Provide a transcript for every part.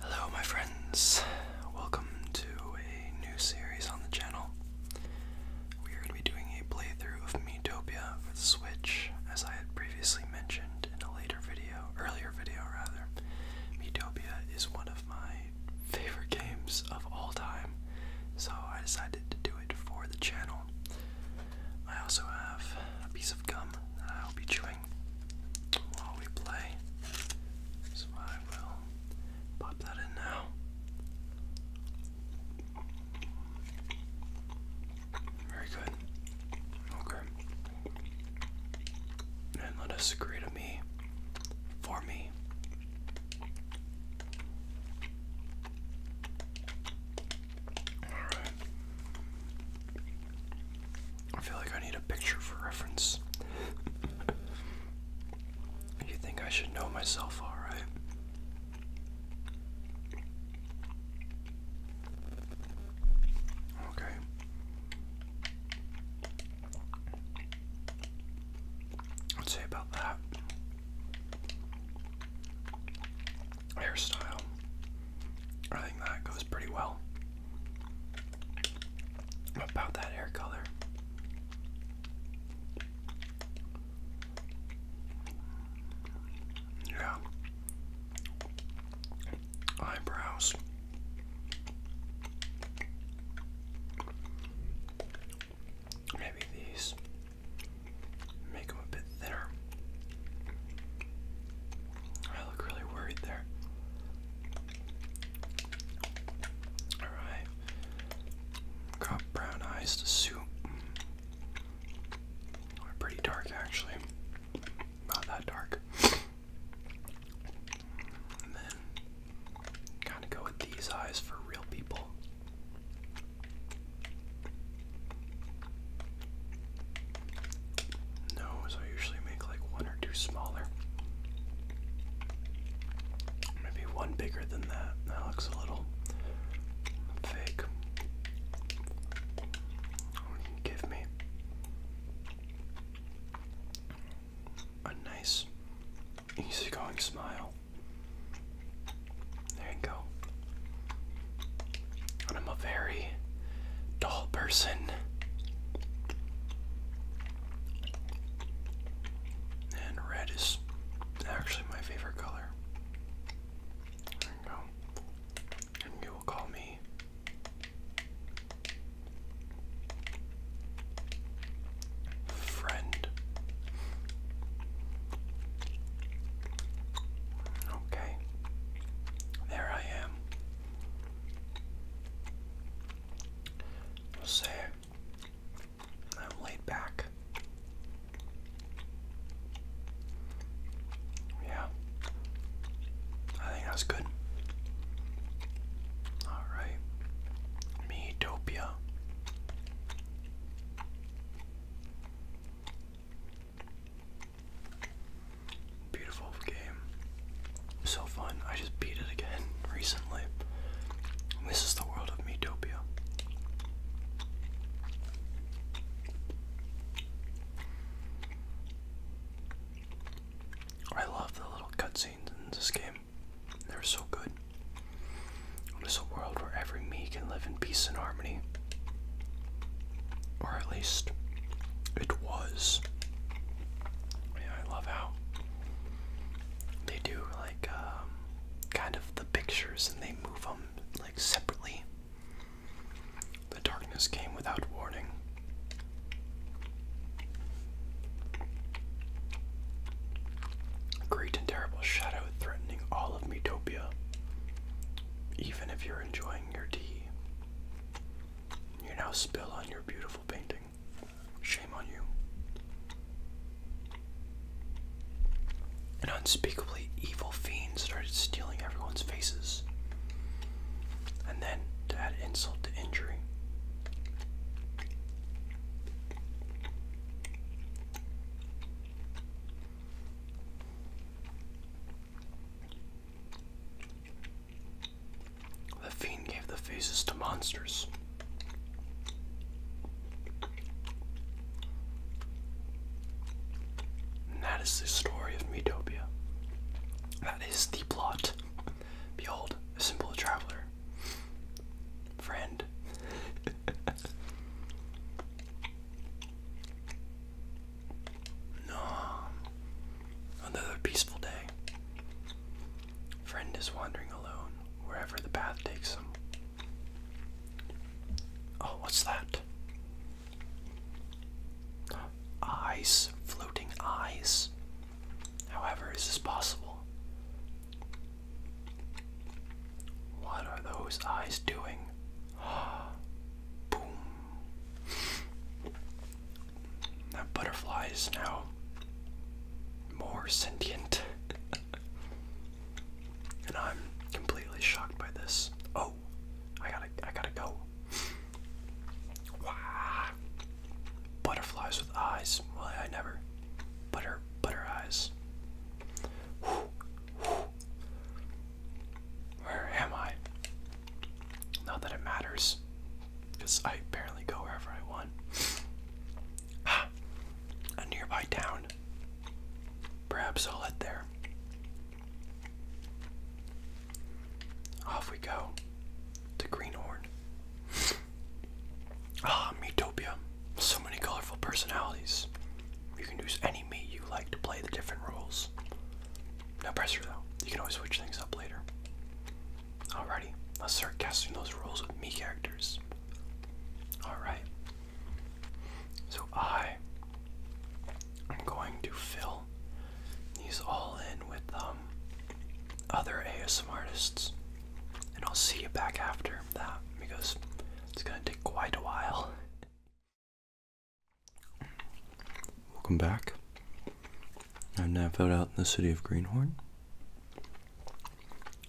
Hello, my friends. Welcome to a new series on the channel. We are going to be doing a playthrough of Metopia for the Switch, as I had previously mentioned in a later video, earlier video rather. Metopia is one of my favorite games of all time, so I decided to do it for the channel. I also have a piece of gum that I'll be chewing while we play. So I will pop that in now. Very good. Okay. And let us agree to me for me. Alright. I feel like I need a picture for reference. you think I should know myself, alright? Okay. i say about that hairstyle. I think that goes pretty well about that hair color. Yeah. Eyebrows. Maybe these make them a bit thinner. I look really worried there. Alright. Got brown eyes to suit. They're pretty dark actually. Not that dark. And then kind of go with these eyes for real people. No, so I usually make like one or two smaller. Maybe one bigger than that. That looks a little fake. Give me a nice, easygoing smile. There you go. I'm a very dull person. And red is actually my favorite color. There you go. you will call me friend. Okay. There I am. I'll say I'm laid back. Yeah. I think that's good. Alright. Meatopia. Beautiful game. So fun. I just beat it again recently. This is the world of Metopia. I love the little cutscenes in this game. They're so good. It is a world where every me can live in peace and harmony or at least it was. I love how they do like um, kind of the pictures and they move them like separately. The darkness came without warning. great and terrible shadow threatening all of Metopia, even if you're enjoying your tea. You now spill on your beautiful painting. Shame on you. An unspeakably evil fiend started stealing everyone's faces. And then, to add insult to injury, the fiend gave the faces to monsters. And that is the story of Metopia. That is the plot. Behold, simple traveler. Friend. No. Another peaceful day. Friend is wandering alone wherever the path takes him. Oh, what's that? Eyes, floating eyes. However, is this possible? What are those eyes doing? Boom. That butterfly is now more sentient. and I'm completely shocked by this. Oh, I gotta I gotta go. Wow. Butterflies with eyes. Well I never. Butter butter eyes. Where am I? Not that it matters, because I apparently go wherever I want. Ah, a nearby town. Perhaps I'll head there. Off we go to Greenhorn. Ah, Meatopia. So many colorful personalities. You can use any meat you like to play the different roles. No pressure though. You can always switch things up later. Alrighty, let's start casting those roles with me characters. Alright. So I am going to fill these all in with um, other ASM artists. And I'll see you back after that because it's gonna take quite a while. Welcome back. I'm now out in the city of Greenhorn.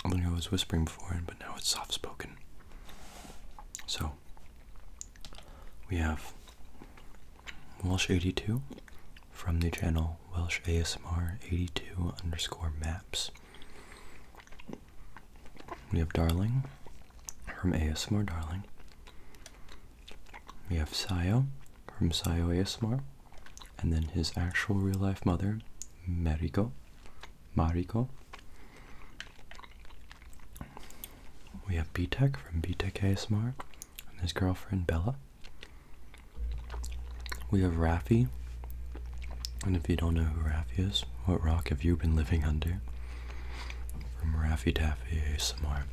I think I was whispering before, but now it's soft spoken. So, we have Welsh82 from the channel Welsh ASMR82 underscore maps. We have Darling from Asmar, Darling. We have Sayo from Sayo Asmar, and then his actual real life mother, Mariko. Mariko. We have B from B Asmar, and his girlfriend Bella. We have Rafi. And if you don't know who Rafi is, what rock have you been living under? from Raffy Taffy ASMR.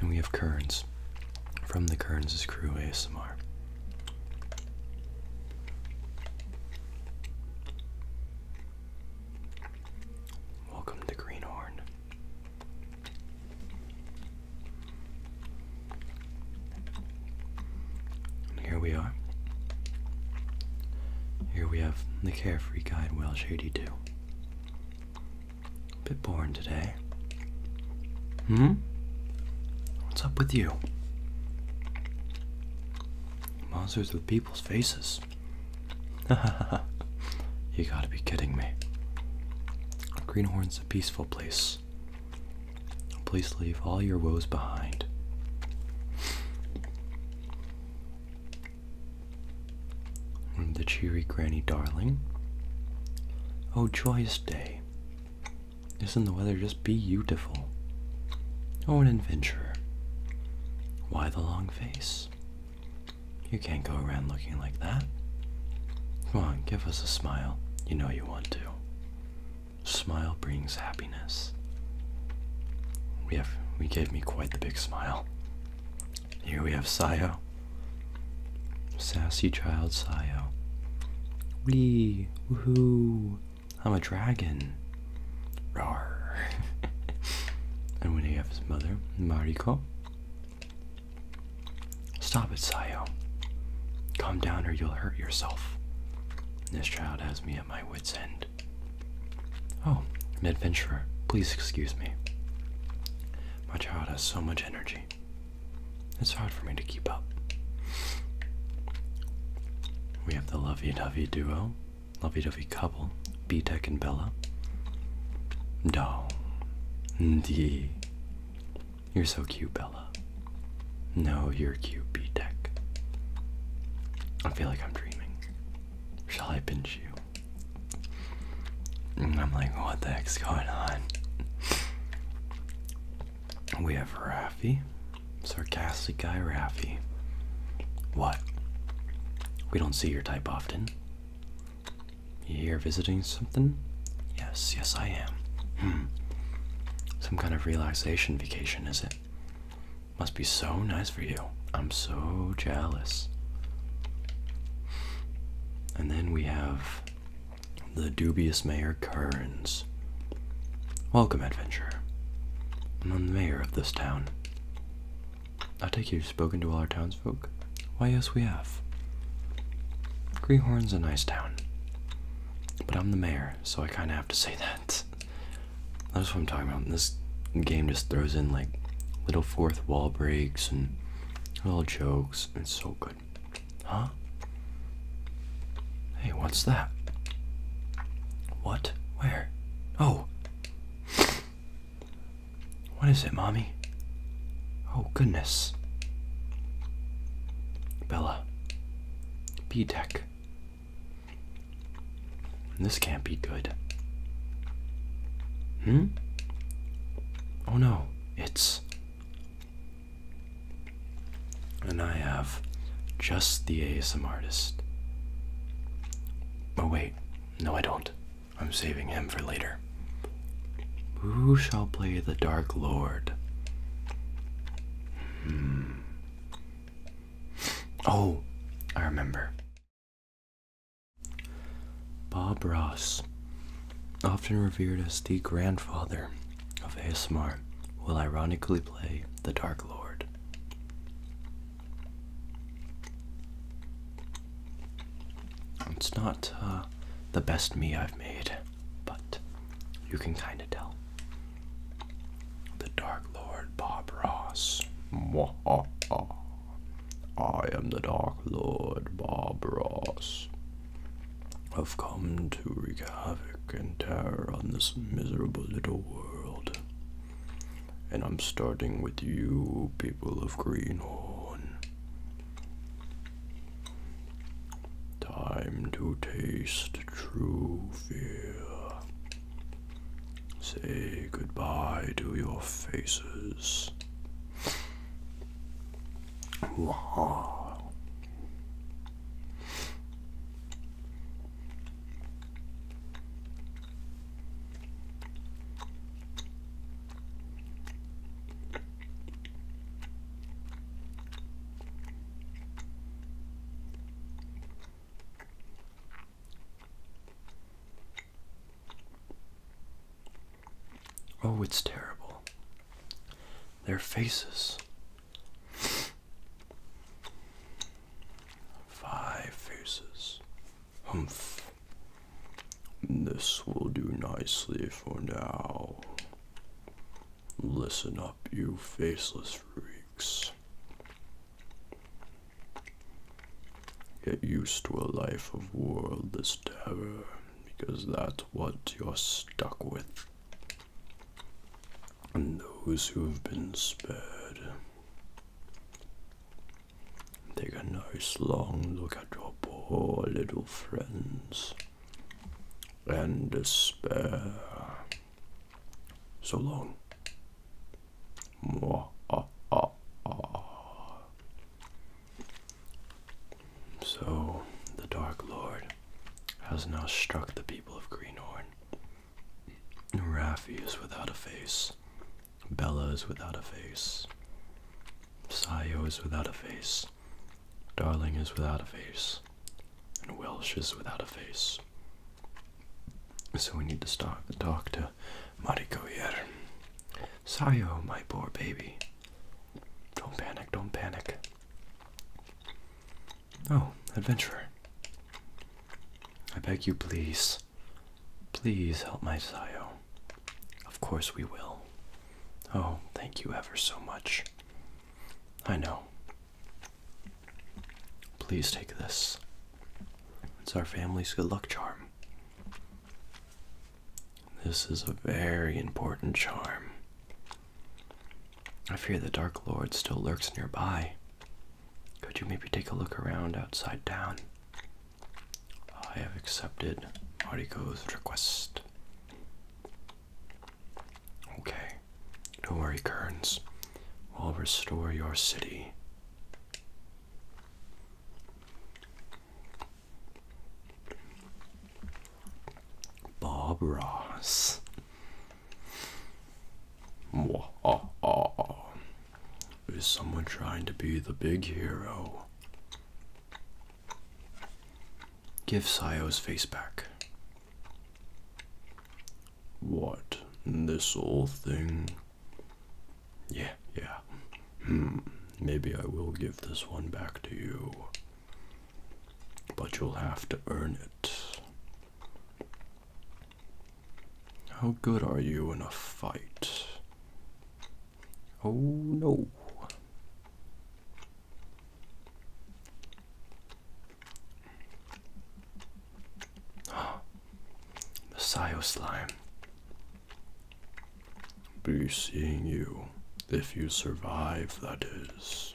And we have Kearns from the Kearns' Crew ASMR. Welcome to Greenhorn. here we are. Here we have the Carefree Guide Welsh 82 bit boring today. Hmm? What's up with you? Monsters with people's faces. Ha ha ha! you gotta be kidding me. Greenhorn's a peaceful place. Please leave all your woes behind the cheery granny darling. Oh, joyous day. Isn't the weather just beautiful? Oh, an adventurer. Why the long face? You can't go around looking like that. Come on, give us a smile. You know you want to. Smile brings happiness. We have, we gave me quite the big smile. Here we have Sayo. Sassy child Sayo. Wee! Woohoo! I'm a dragon. Roar. and when he have his mother, Mariko. Stop it, Sayo. Calm down or you'll hurt yourself. This child has me at my wit's end. Oh, an adventurer. Please excuse me. My child has so much energy. It's hard for me to keep up. We have the lovey dovey duo, lovey dovey couple, B Tech and Bella. No. D. You're so cute, Bella. No, you're cute, B Tech. I feel like I'm dreaming. Shall I pinch you? And I'm like, what the heck's going on? We have Raffy, sarcastic guy Raffy. What? We don't see your type often. You here visiting something? Yes, yes, I am. Hmm. Some kind of relaxation vacation, is it? Must be so nice for you. I'm so jealous. And then we have the dubious Mayor Kearns. Welcome, adventurer. I'm the mayor of this town. I take it you've spoken to all our townsfolk? Why, yes, we have. Greenhorn's a nice town. But I'm the mayor, so I kinda have to say that. That's what I'm talking about. This game just throws in like little fourth wall breaks and little jokes. It's so good. Huh? Hey, what's that? What? Where? Oh. What is it, Mommy? Oh, goodness. Bella. B deck. This can't be good. Hmm? Oh no, it's. And I have just the ASM artist. Oh wait, no, I don't. I'm saving him for later. Who shall play the Dark Lord? Hmm. Oh, I remember. Bob Ross, often revered as the grandfather of ASMR, will ironically play the Dark Lord. It's not uh, the best me I've made, but you can kind of tell. The Dark Lord Bob Ross. Mwah -ah -ah. I am the Dark Lord Barbaros. I've come to wreak havoc and terror on this miserable little world. And I'm starting with you, people of Greenhorn. Time to taste true fear. Say goodbye to your faces. Wow. Oh, it's terrible. Their faces. Five faces. Humph. This will do nicely for now. Listen up, you faceless freaks. Get used to a life of worldless terror because that's what you're stuck with. And those who've been spared take a nice long look at your poor little friends and despair. So long. So the Dark Lord has now struck the people of Greenhorn. Raffi is without a face. Bella is without a face. Sayo is without a face. Darling is without a face. And Welsh is without a face. So we need to stop and talk to Mariko here. Sayo, oh, my poor baby. Don't panic, don't panic. Oh, adventurer. I beg you, please. Please help my Sayo. Of course we will. Oh, thank you ever so much. I know. Please take this. It's our family's good luck charm. This is a very important charm. I fear the Dark Lord still lurks nearby. Could you maybe take a look around outside down? I have accepted Mariko's request. Okay, don't worry, Kurns. i will restore your city Bob Ross. Is someone trying to be the big hero? Give Sayo's face back. What? This old thing yeah, yeah. Hmm. Maybe I will give this one back to you. But you'll have to earn it. How good are you in a fight? Oh no the Sio slime. Be seeing you if you survive, that is.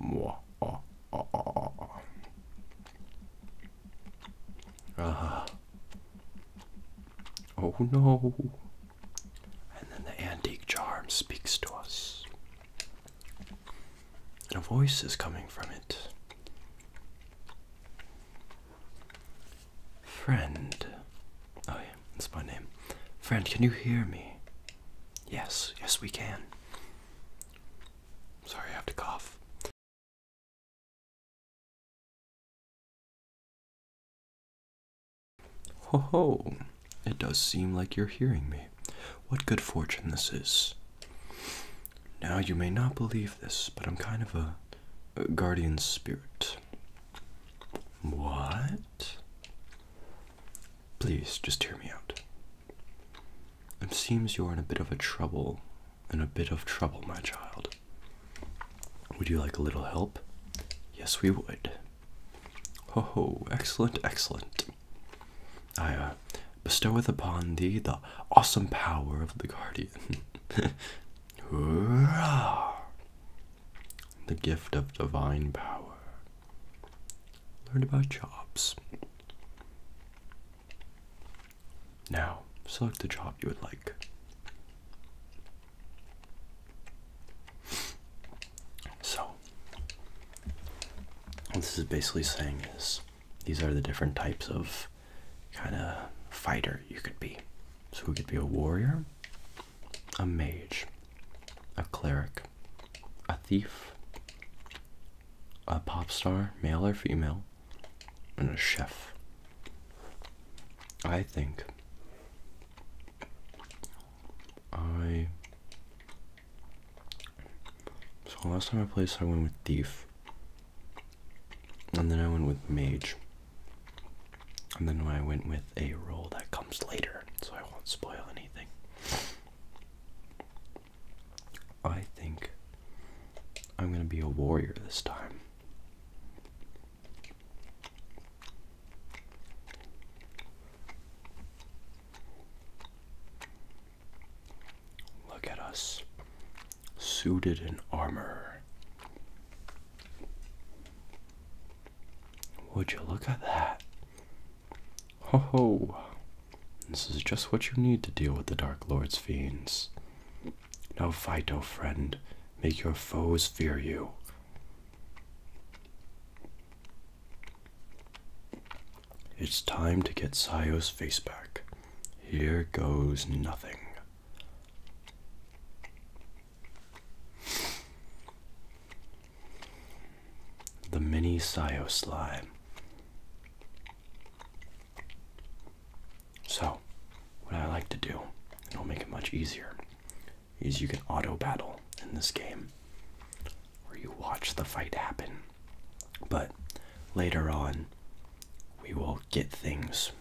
Mwah, ah ah, ah, ah. ah. Oh no. And then the antique charm speaks to us. And a voice is coming from it. Friend. Oh, yeah, that's my name. Friend, can you hear me? Yes, yes, we can. Sorry, I have to cough. Ho ho! It does seem like you're hearing me. What good fortune this is. Now, you may not believe this, but I'm kind of a, guardian spirit. What? Please, just hear me out. It seems you're in a bit of a trouble, in a bit of trouble, my child. Would you like a little help? Yes, we would. Ho ho, excellent, excellent. I, uh, bestoweth upon thee the awesome power of the guardian. Hurrah! The gift of divine power. Learn about jobs. Now, select the job you would like. So, what this is basically saying is these are the different types of kind of fighter you could be. So you could be a warrior, a mage, a cleric, a thief, a pop star, male or female, and a chef. I think I so last time I played, I went with Thief. And then I went with Mage. And then I went with a role that comes later, so I won't spoil anything. I think I'm going to be a warrior this time. Look at us, suited in armor. Would you look at that? Ho ho! This is just what you need to deal with the Dark Lord's fiends. Now fight, O friend, make your foes fear you. It's time to get Sayo's face back. Here goes nothing. The mini Sayo slime. So, what I like to do, and it'll make it much easier, is you can auto battle in this game where you watch the fight happen but later on, we will get things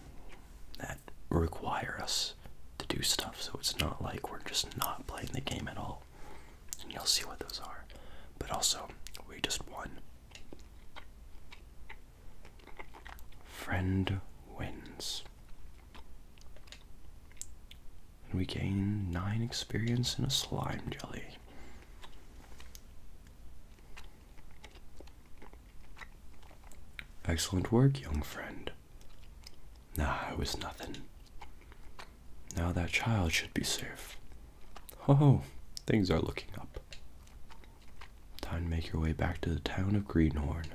that require us to do stuff. So it's not like we're just not playing the game at all. And you'll see what those are. But also, we just won. Friend wins. And we gain 9 experience in a slime jelly. Excellent work, young friend. Nah, it was nothing. Now that child should be safe. Oh, things are looking up. Time to make your way back to the town of Greenhorn.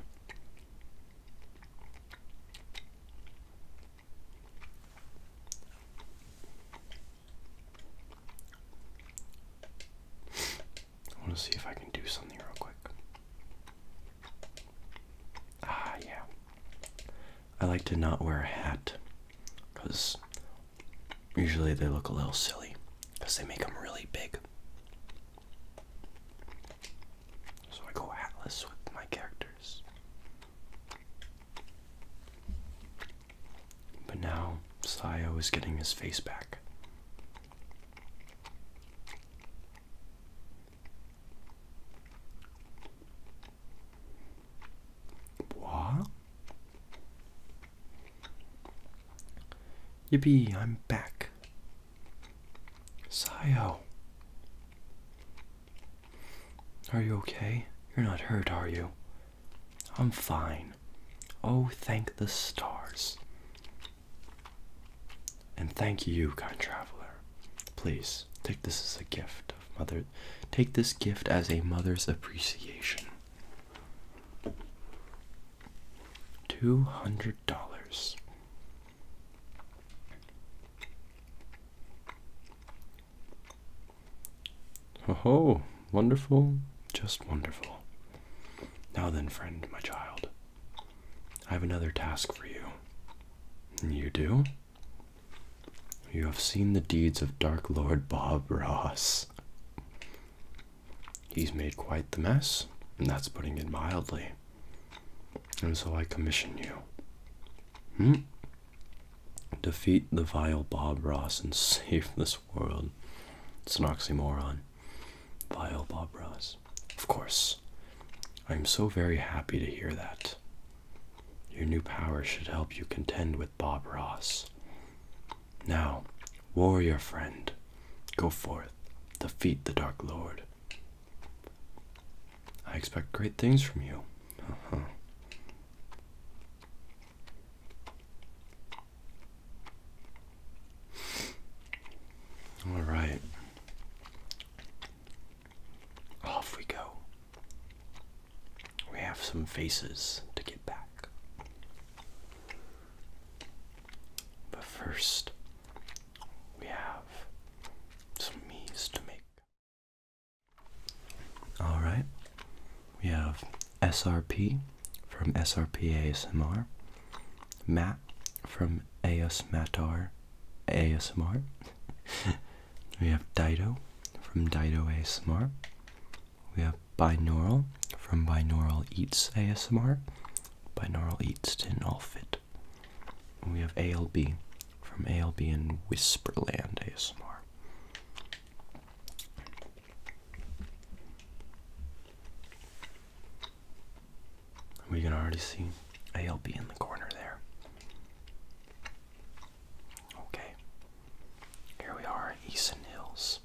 I want to see if I can do something real quick. Ah, yeah. I like to not wear a hat because usually they look a little silly because they make them really big. So I go hatless with my characters. But now Sayo is getting his face back. What? Yippee, I'm back. Sayo. Are you okay? You're not hurt, are you? I'm fine. Oh, thank the stars. And thank you, kind traveler. Please take this as a gift of mother. Take this gift as a mother's appreciation. Two hundred dollars. Ho ho, wonderful, just wonderful. Now then, friend, my child, I have another task for you. You do? You have seen the deeds of Dark Lord Bob Ross. He's made quite the mess, and that's putting it mildly. And so I commission you. Hmm? Defeat the vile Bob Ross and save this world. It's an oxymoron. Vile Bob Ross. Of course. I'm so very happy to hear that. Your new power should help you contend with Bob Ross. Now, warrior friend, go forth, defeat the Dark Lord. I expect great things from you. Uh -huh. All right. Off we go. We have some faces to get back. But first, we have some me's to make. All right, we have SRP from SRP ASMR, Matt from AS Matar ASMR. we have Dido from Dido ASMR. We have Binaural from Binaural Eats ASMR. Binaural Eats didn't all fit. we have ALB from ALB in Whisperland ASMR. We can already see ALB in the corner there. Okay, here we are, Easton Hills.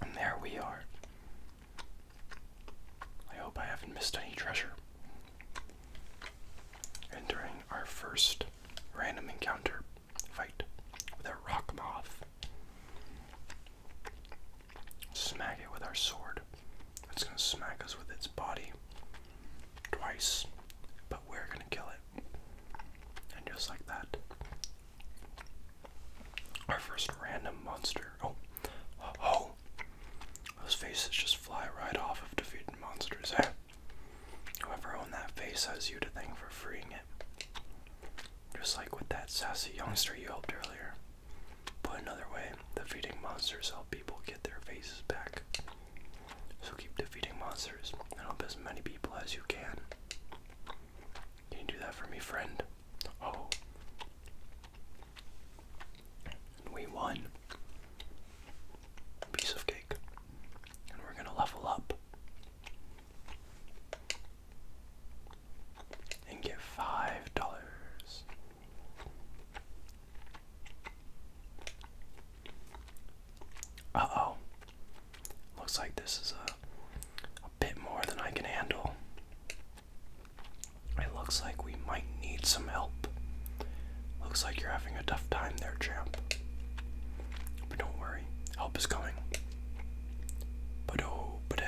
And there we are, I hope I haven't missed any treasure. And our first random encounter fight with a rock moth, smack it with our sword. It's gonna smack us with its body twice, but we're gonna kill it. And just like that, our first random monster. Oh, oh, those faces just fly right off of defeated monsters, eh? Whoever owned that face has you to thank for freeing it. Just like with that sassy youngster you helped earlier. Put another way, defeating monsters help people get their faces back. So keep defeating monsters and help as many people as you can. Can you do that for me, friend? Oh we won a piece of cake. And we're going to level up and get five dollars. Uh oh. Looks like this is a, a bit more than I can handle. It looks like we might need some help. Looks like you're having a tough time there, champ. But don't worry, help is coming. But oh, but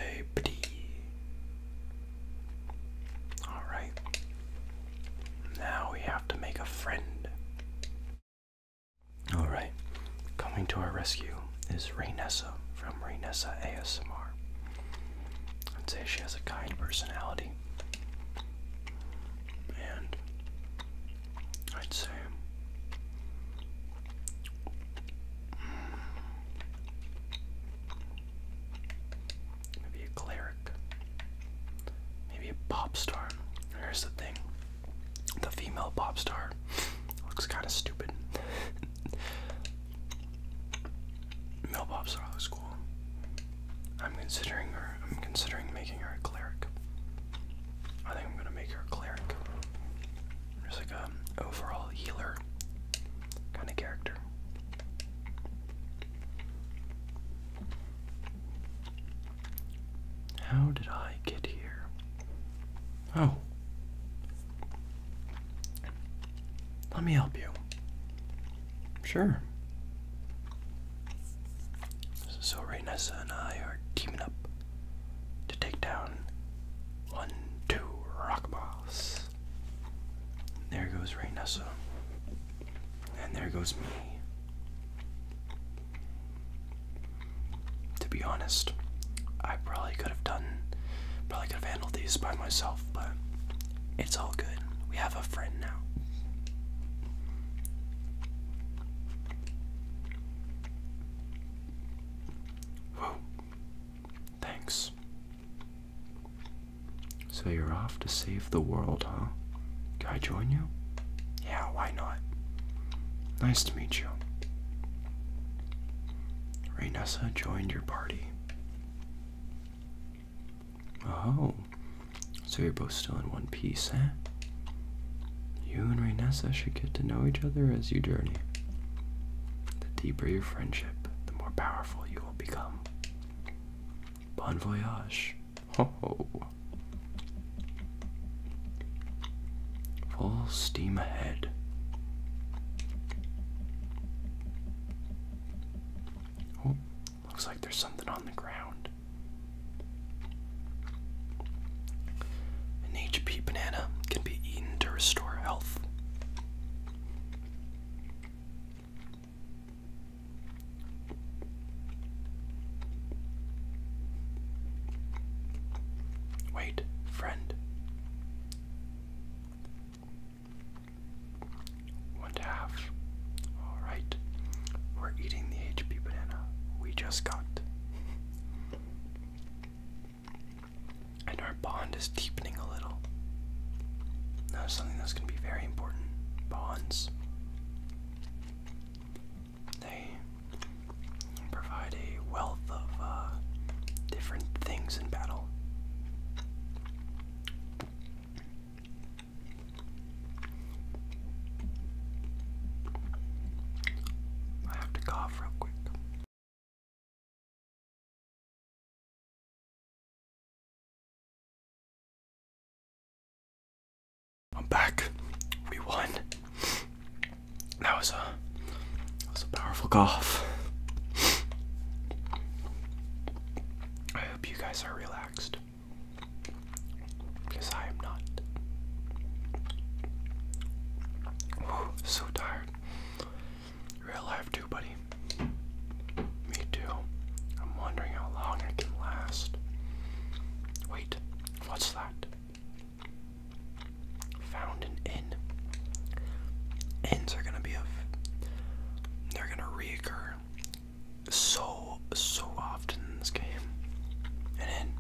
Alright. Now we have to make a friend. Alright, coming to our rescue is Rainessa from Renessa ASMR. I'd say she has a kind personality. And I'd say maybe a cleric. Maybe a pop star. Here's the thing. The female pop star looks kinda stupid. Millpops are always I'm considering I'm considering making her a cleric. I think I'm gonna make her a cleric. There's like a overall healer kind of character. How did I get here? Oh, let me help you. Sure. So Raynessa and I are teaming up to take down one, two, rock boss. There goes Raynessa. And there goes me. To be honest, I probably could have done, probably could have handled these by myself but it's all good. We have a friend now. Whoa. Thanks. So you're off to save the world, huh? Can I join you? Yeah, why not? Nice to meet you. Rainessa joined your party. Oh, so you're both still in one piece, eh? You and Rainessa should get to know each other as you journey. The deeper your friendship, the more powerful you will become. Bon voyage! Oh, ho! Full steam ahead. Oh, looks like there's something on the ground. An HP banana can be eaten to restore health. Wait, friend. One half. Alright. We're eating the HP banana we just got. and our bond is deepening a little. Now something that's gonna be very important. Bonds. They provide a wealth of uh, different things in battle I have to cough real quick. I'm back. We won. That was a uh, that was a powerful cough. I hope you guys are relaxed. Because I am not. Ooh, so tired. You're too, buddy. Me too. I'm wondering how long I can last. Wait, what's that? found an N. N's are gonna be of they're gonna reoccur so so often in this game. And then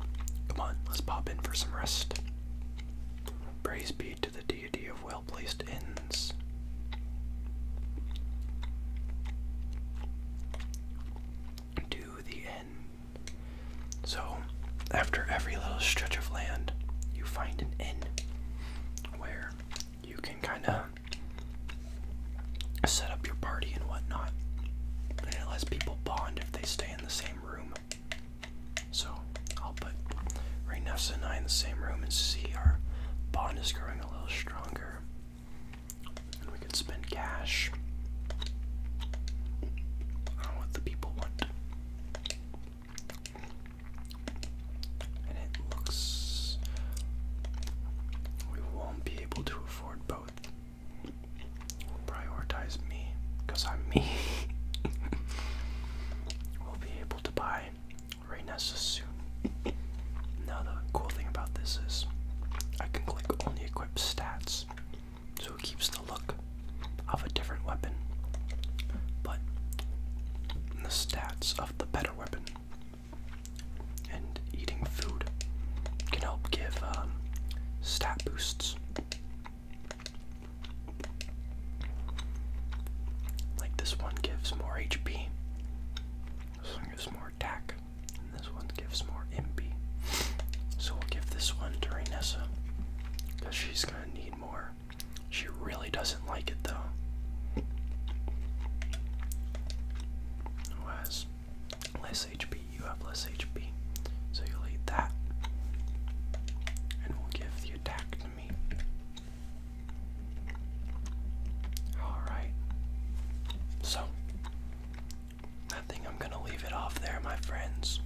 come on, let's pop in for some rest. Praise be to the deity of well placed ends. To the end. So, after every little stretch of land, you find an inn where you can kind of set up your party and whatnot. And it lets people bond if they stay in the same room. So I'll put Ray Nefs and I in the same room and see our bond is growing a little stronger. And we can spend cash on what the people want. And it looks we won't be able to afford both. prioritize me, because I'm me. we'll be able to buy Raynessa soon. now the cool thing about this is I can click only equip stats. So it keeps the look of a different weapon, but the stats of the better weapon. And eating food can help give um, stat boosts. Like this one gives more HP, this one gives more attack, and this one gives more MP. So we'll give this one to Renessa because she's going to need more she really doesn't like it though. Who less HP? You have less HP. So you'll eat that. And we'll give the attack to me. Alright. So, I think I'm going to leave it off there, my friends.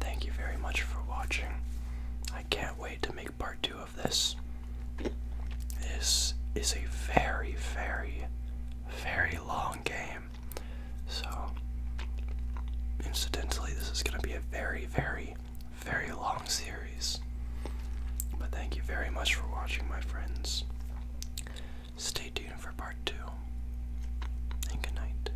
Thank you very much for watching. I can't can wait to make part two of this. This is a very, very, very long game. So, incidentally, this is going to be a very, very, very long series. But thank you very much for watching, my friends. Stay tuned for part two, and good night.